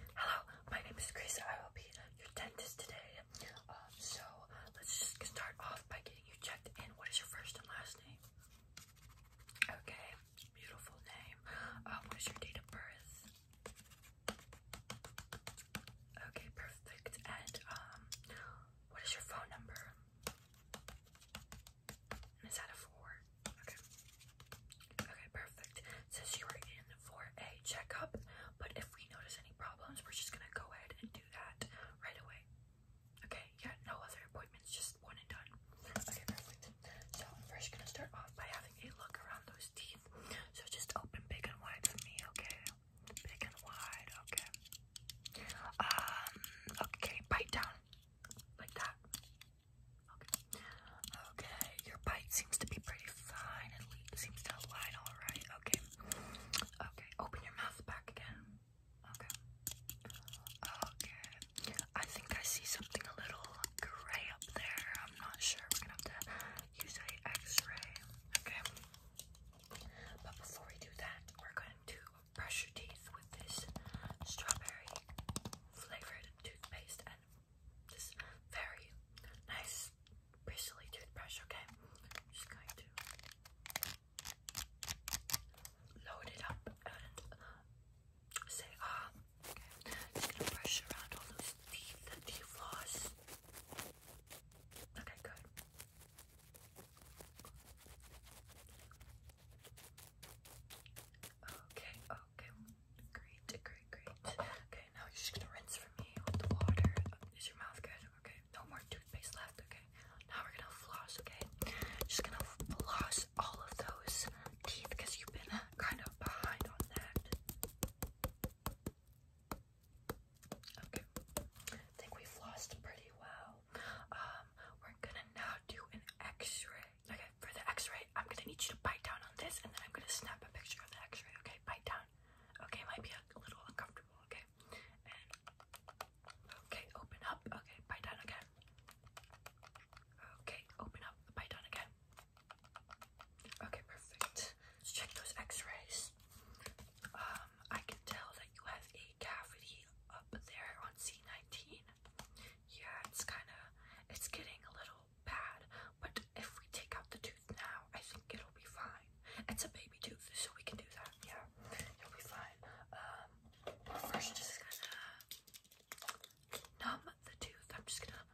Hello, my name is Grace. I will be your dentist today. Um, so let's just start off by getting you checked in. What is your first and last name? Okay, beautiful name. Um, what is your date of birth? Okay, perfect. And um, what is your phone number? Is that a four? Okay. Okay, perfect. Since you were in for a checkup, but if we notice any problems, we're just gonna go ahead and do that right away. Okay, yeah, no other appointments, just one and done. Okay, perfect. So I'm first gonna start off by having a look around those teeth. So just open big and wide for me, okay? Big and wide, okay. Um, okay, bite down. Like that. Okay. Okay, your bite seems to be pretty fine. It seems to align all right. Okay. Okay, open your mouth back again. Okay. Okay. I think I see something a little gray up there. I'm not sure. We're gonna have to use a X-ray. Okay. But before we do that, we're going to brush your teeth with this strawberry flavored toothpaste and this very nice bristly toothbrush, okay? just going to load it up and say ah. Okay. Just gonna brush around all those teeth that you lost. Okay, good. Okay, okay, great, great, great. Okay, now you're just gonna rinse for me with the water. Is your mouth good? Okay, no more toothpaste left. Okay, now we're gonna floss. Okay, just gonna floss all of those teeth because you've been kind of behind on that. Okay, I think we flossed pretty well. Um, we're gonna now do an x-ray. Okay, for the x-ray, I'm gonna need you to bite down on this and then I'm gonna snap a picture of the x-ray, okay? Bite down. Okay, might be a, little uncomfortable, okay? okay, open up, okay, bite down again. Okay, open up, bite down again. Okay, perfect. Let's check those x-rays. Um I can tell that you have a cavity up there on C19. Yeah, it's kind of, it's getting a little bad, but if we take out the tooth now, I think it'll be fine. It's a baby tooth, so we can do that. Yeah, you'll be fine. Um, we're first just gonna numb the tooth. I'm just gonna,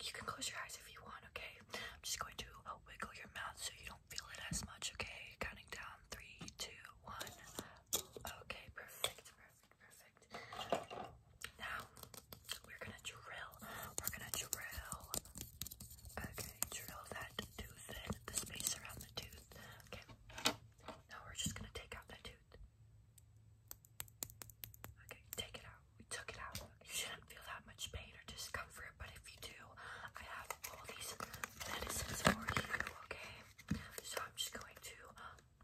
you can close your eyes if you want, okay? I'm just going to wiggle your mouth so you don't feel it as much, okay? Counting down three, two, one. Okay, perfect, perfect, perfect. Now we're gonna drill. We're gonna drill. Okay, drill that tooth in, the space around the tooth. Okay. Now we're just gonna take out that tooth. Okay, take it we took it out. You shouldn't feel that much pain or discomfort, but if you do, I have all these medicines for you, okay? So I'm just going to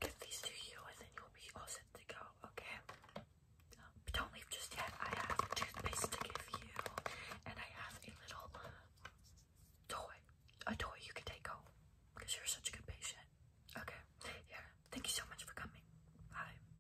give these to you and then you'll be all set to go, okay? but don't leave just yet. I have toothpaste to give you and I have a little toy. A toy you can take home because you're such a good patient. Okay, yeah. Thank you so much for coming. Bye.